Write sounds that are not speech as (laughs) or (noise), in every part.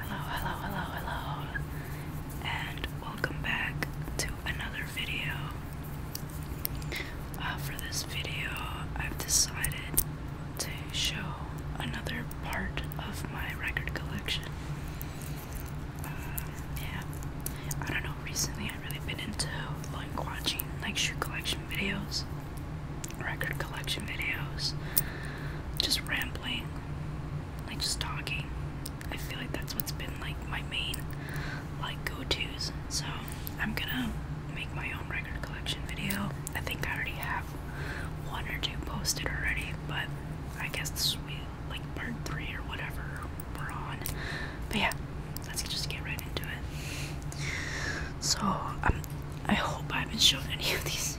Hello, hello, hello, hello, and welcome back to another video. Uh, for this video, I've decided to show another part of my record collection. Uh, yeah, I don't know, recently I've really been into like watching like shoe collection videos record collection videos, just rambling, like just talking. I feel like that's what's been like my main like go-to's. So I'm gonna make my own record collection video. I think I already have one or two posted already, but I guess this will like part three or whatever we're on. But yeah, let's just get right into it. So um, I hope I haven't shown any of these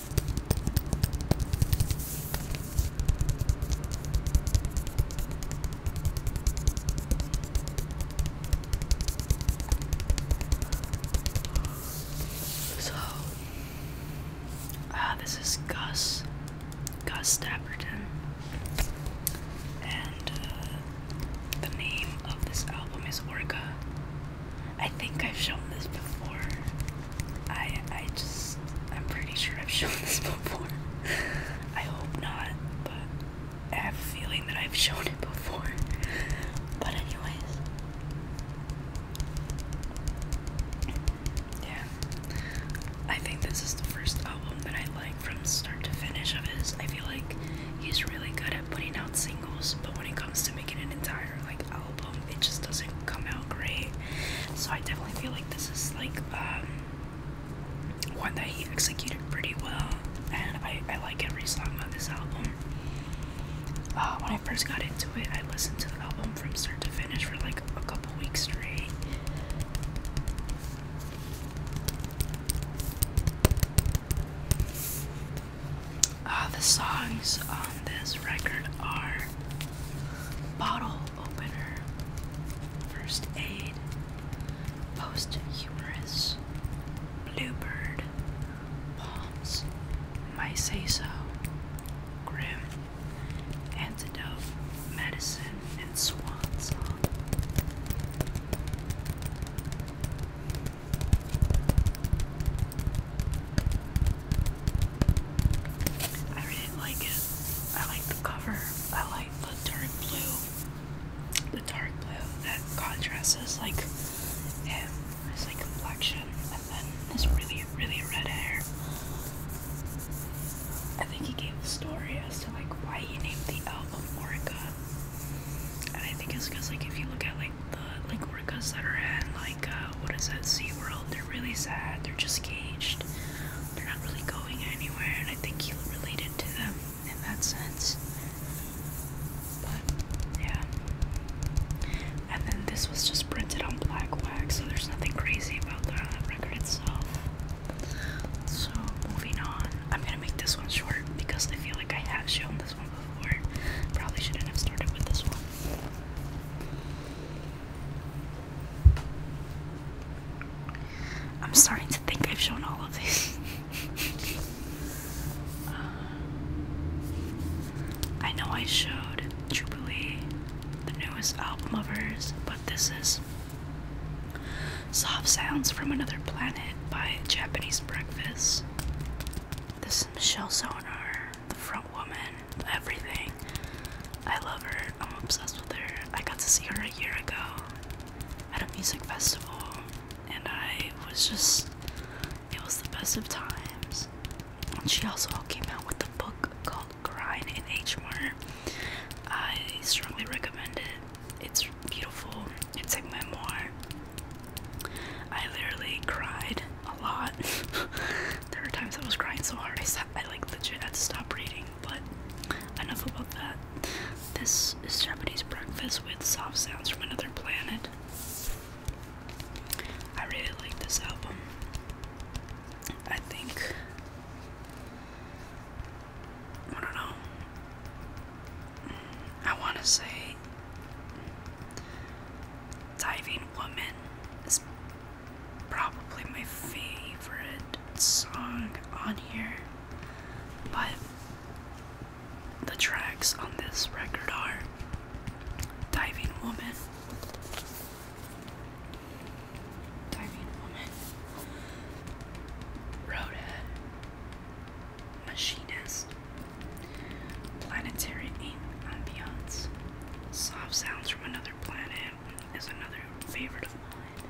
So, uh, this is Gus, Gus Dapperton, and uh, the name of this album is Orca. I think I've shown this before. I I just I'm pretty sure I've (laughs) shown this before. I hope not, but have feeling that I've shown it before. But anyways. Yeah. I think this is the first album that I like from start to finish of his. I feel like he's really good at putting out singles, but when it comes to making an entire like album. It just doesn't come out great. So I definitely feel like this is like um, one that he executed pretty well, and I like every song on this album. Uh, when I first got into it, I listened to the album from start to finish for like a couple weeks straight. Uh, the songs on this record are Bottle Opener, First Aid, Posthumous, Bluebird, Palms, My Say So, Grim, Antidote, Medicine, and Swan I really like it. I like the cover. I like the dark blue. The dark blue that contrasts like him, his like complexion, and then his really, really red hair. I think he gave the story as to like why he named the album Orca. And I think it's because like if you look at like the like orcas that are at like uh, what is that SeaWorld, they're really sad, they're just caged, they're not really going anywhere, and I think he related to them in that sense. But yeah. And then this was just printed on black wax, so there's nothing crazy about the record itself. So moving on, I'm gonna make this one short because I feel like I have shown this. I'm starting to think I've shown all of this. (laughs) I know I showed Jubilee, the newest album of hers, but this is Soft Sounds from Another Planet by Japanese Breakfast. This is Michelle Sonar, the front woman, everything. I love her. I'm obsessed with her. I got to see her a year ago at a music festival, and I was just, it was the best of times. And she also came out with a book called Grind in H Mart. I strongly recommend it. It's beautiful, it's a memoir. I literally cried a lot. (laughs) there were times I was crying so hard I sat, I like legit had to stop reading. But enough about that. This is Japanese breakfast with soft sounds from another planet. I really like this album. I think I don't know. I want to say Diving Woman is probably my favorite song on here, but the tracks on this record are Diving Woman, Diving Woman, Roadhead. Machinist, Planetary Ambiance, Soft Sounds from Another Planet is another favorite of mine.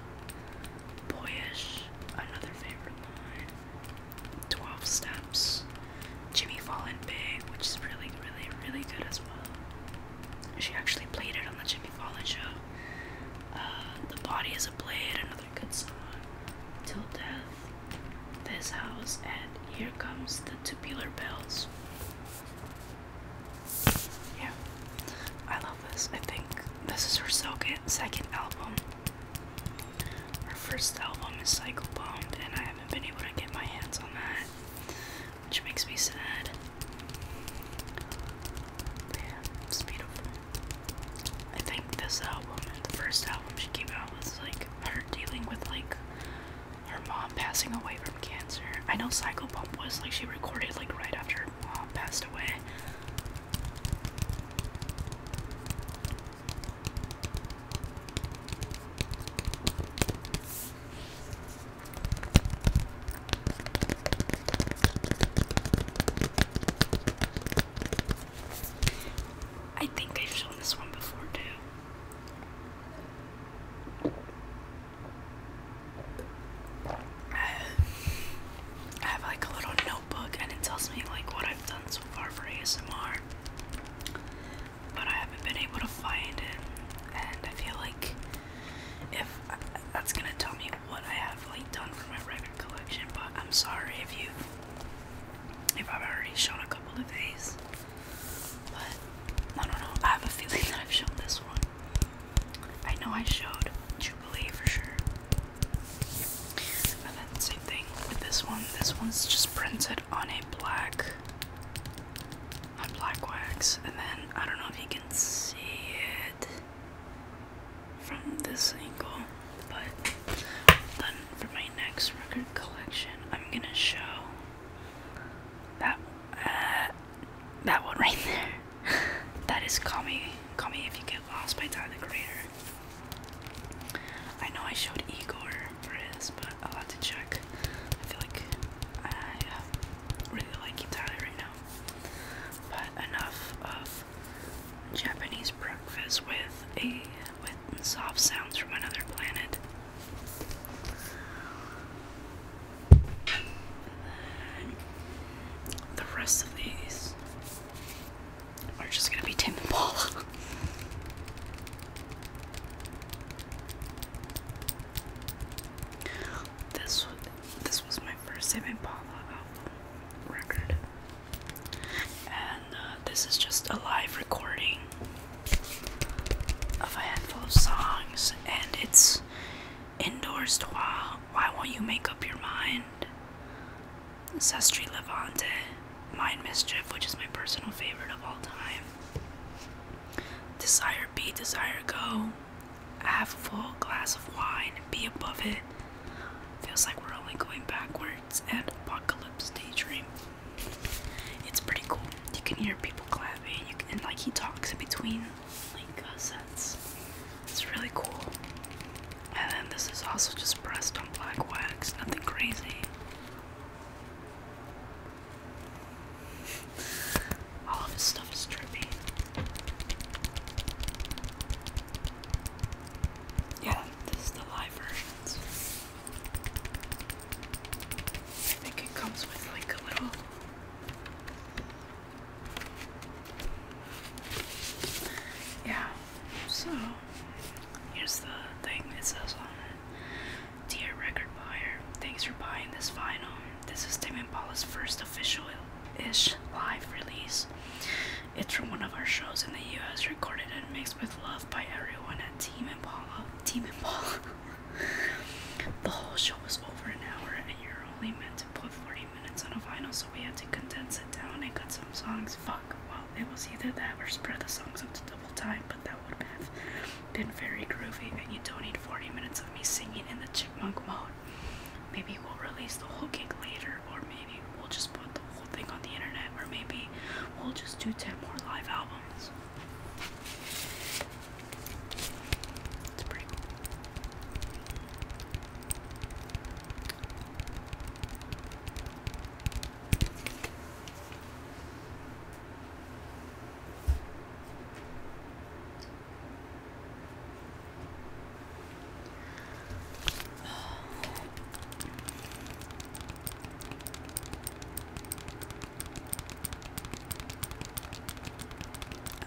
Boyish, another favorite of mine. 12 Steps, Jimmy Fallon Big, which is really, really, really good as well. She actually played it on the Jimmy Fallon show. Uh, the Body is a Blade, another good song. Till Death, this house and here comes the tubular bells. Yeah, I love this. I think this is her second album. Her first album is Cycle Bomb, and I haven't been able to get my hands on that, which makes me sad. Yeah, it's beautiful. I think this album, the first album she came out, was like her dealing with like her mom passing away from cancer. I know Psycho Pump was like she recorded like right after her mom passed away. I think I've shown this one before too. I have like a little notebook and it tells me like what I've done so far for ASMR. But I haven't been able to find it and I feel like if that's gonna tell me what I have like done for my record collection, but I'm sorry if you I've already shown a couple of these. But I don't know. I have a feeling (laughs) that I've shown this one. I know I showed Jubilee for sure. And then same thing with this one. This one's just printed on a black on black wax. And then I don't know if you can see it from this angle. But for my next record collection, I'm gonna show that uh, that one right there. (laughs) that is "Call Me, Call Me If You Get Lost" by Tyler the Creator. I know I showed Igor for his, but I'll have to check. I feel like I uh, really like Tyler right now. But enough of Japanese breakfast with a with soft sounds from another planet. The rest of these are just gonna be Tim and Paula. (laughs) This was my first Tim record. And uh, this is just a live recording of a handful of songs, and it's indoors. Why, why won't you make up your mind? Sestri Levante, Mind Mischief, which is my personal favorite of all time. Desire Be, Desire Go, Have a Full Glass of Wine, and Be Above It, Feels like we're only going backwards and apocalypse daydream. It's pretty cool. You can hear people clapping, you can, like he talks in between like uh, sets. It's really cool. And then this is also just pressed on black wax, nothing crazy. (laughs) All of this stuff is trippy. Yeah, this is the live version. I think it comes with like a little yeah, so here's the thing it says on it. Dear record buyer, thanks for buying this vinyl. This is Tim Impala's first official ish live release. It's from one of our shows in the US, recorded and mixed with love by everyone at Team Impala. Team Impala. (laughs) the whole show was over an hour, and you're only meant to put 40 minutes on a vinyl, so we had to condense it down and cut some songs. Fuck. Well, it was either that or spread the songs up to double time, but that would have been very groovy, and you don't need 40 minutes of me singing in the chipmunk mode. Maybe we'll release the whole gig later, or maybe we'll just put the thing on the internet, or maybe we'll just do 10 more live albums. It's pretty cool.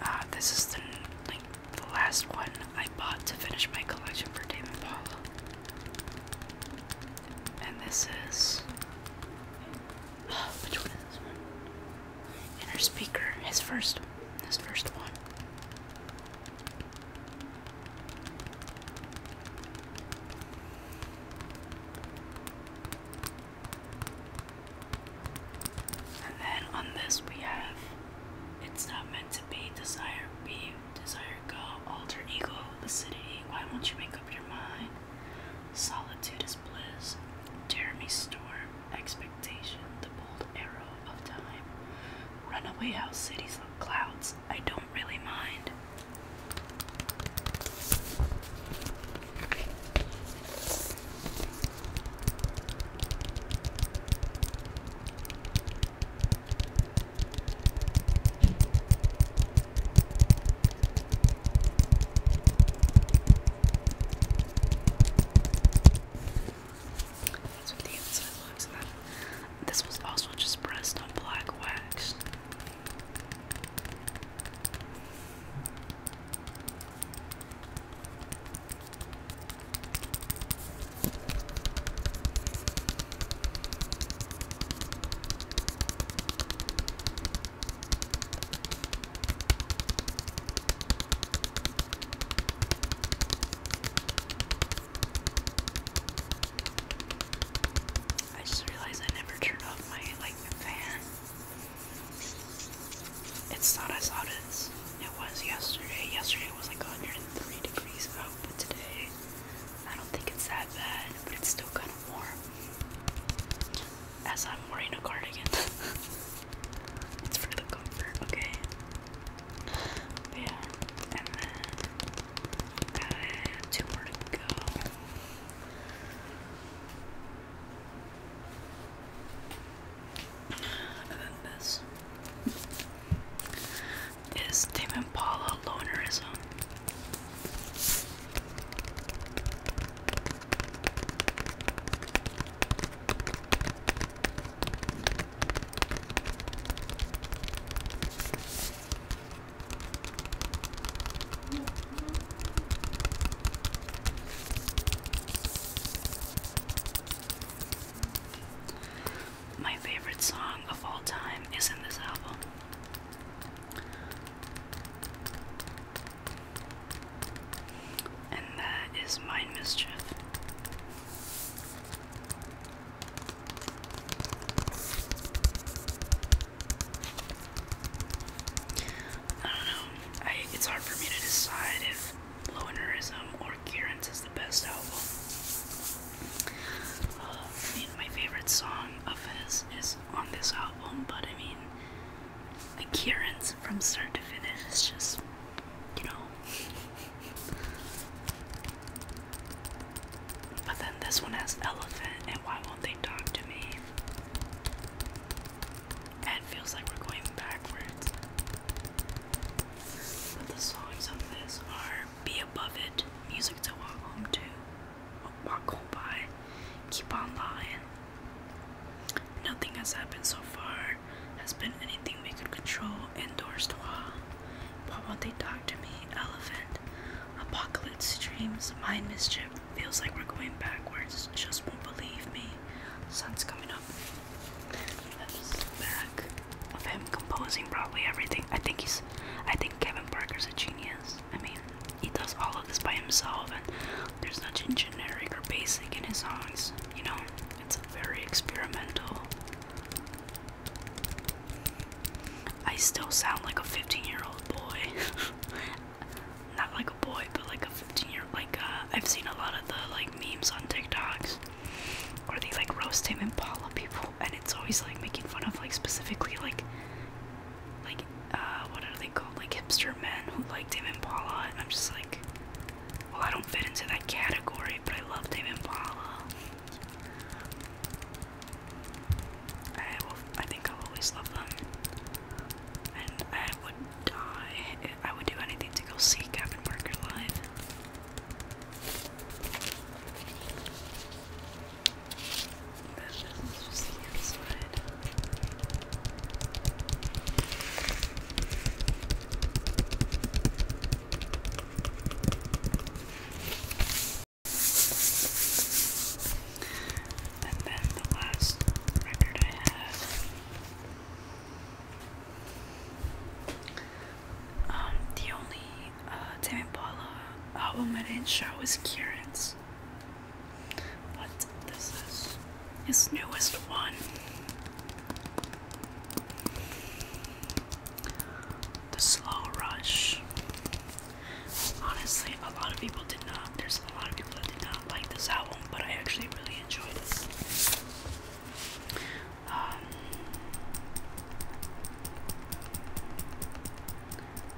Ah, this is the the last one I bought to finish my collection for David Paul, And this is uh, (gasps) which one is this one? Inner speaker, his first, this first one. And then on this we have it's not meant to be, desire be, desire go, alter ego, lucidity, why won't you make up your mind? Solitude is bliss, Jeremy Storm, expectation, the bold arrow of time, Runaway house cities of clouds. I don't really mind. That's what the inside looks like. This was also just pressed on black wax. I just realized I never turned off my like fan. It's not as hot as it was yesterday. Yesterday was like 103 degrees but today I don't think it's that bad, but it's still kind of warm. As I'm wearing a cardigan. (laughs) it's for the comfort, okay? Yeah, and then two more to go. And then this is David and Paula Lonerism. My favorite song of all time is in this album. And that is Mind Mischief. I don't know. it's hard for me to decide if Low Neurism or Currents is the best album. Uh, I mean, my favorite song of his is on this album, but I mean, Currents from start to finish is just, you know, but then this one has elephant, and why won't they talk to me? it feels like we're going backwards. But the songs on this are Be Above It, Music to Walk Home To, Walk Home By, Keep On Lying. Nothing has happened so far has been anything we could control indoors to Why won't they talk to me, elephant? Apocalypse dreams, mind mischief. Feels like we're going backwards. Just won't believe me. Sun's coming up. That is back of him composing probably everything. I think he's. I think Kevin Parker's a genius. I mean, he does all of this by himself, and there's nothing generic or basic in his songs. You know, it's very experimental. I still sound like a 15 year old boy. (laughs) Not like a boy, but like a 15 year like uh, I've seen a lot of the like memes on TikToks where they like roast him and Paula people, and it's always like making fun of like specifically like like uh, what are they called like hipster men who like him and Paula, and I'm just like well, I don't fit into that category, but I love Dave Impala. I I think I'll always love them, and I would die. I would do anything to go see Gavin Parker live. This is just the inside. And then the last record I have. Um, the only uh, Tame Impala album I didn't show is Kieran's. But this is his newest one. The slow rush. Honestly, a lot of people did not. There's a lot of people that did not like this album, but I actually really enjoy this. Um,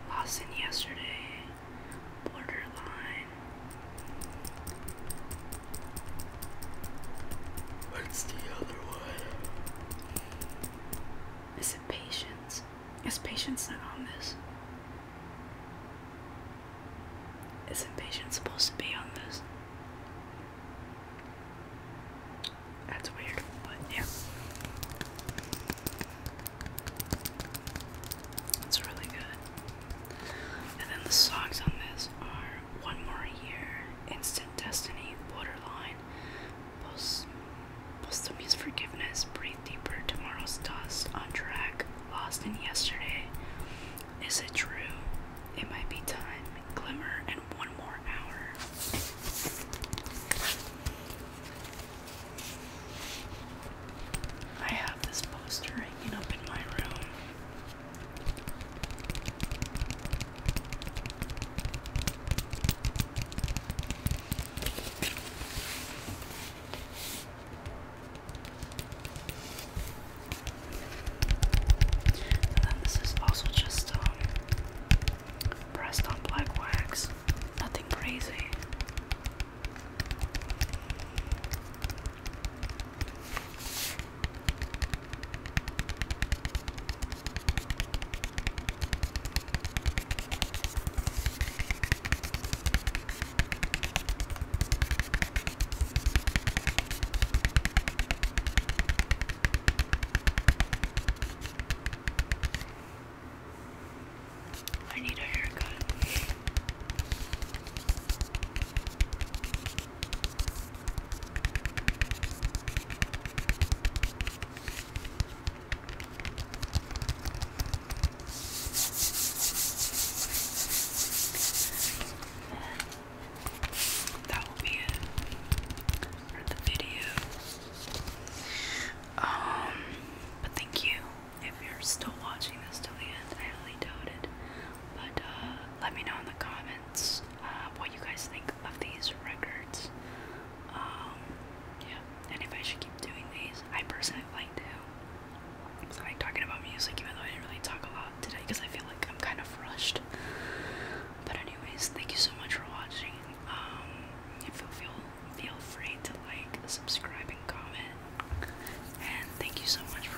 Lost in Yesterday, Borderline, What's the other one? Is it patience? Is patience not on this? Isn't patience supposed to be on this? That's weird, but yeah. It's really good. And then the songs on this are One More Year, Instant Destiny, Borderline, Post Posthumous Forgiveness, Breathe Deeper, Tomorrow's Dust, On Track, Lost in Yesterday, Is It True, It Might Be Time, Glimmer, and One More Hour. I have this poster hanging up in my room. And then this is also just um, pressed on black wax. Nothing crazy. I need a haircut. That will be it for the video. Um, but thank you if you're still watching this till the end. I highly doubt but uh, let me know in the comments uh, what you guys think of these records. Um, yeah, and if I should keep doing these, I personally like to. So I like talking about music, even though I didn't really talk a lot today because I feel like I'm kind of rushed. But anyways, thank you so much for watching. Um, if you feel feel free to like, subscribe, and comment. And thank you so much for.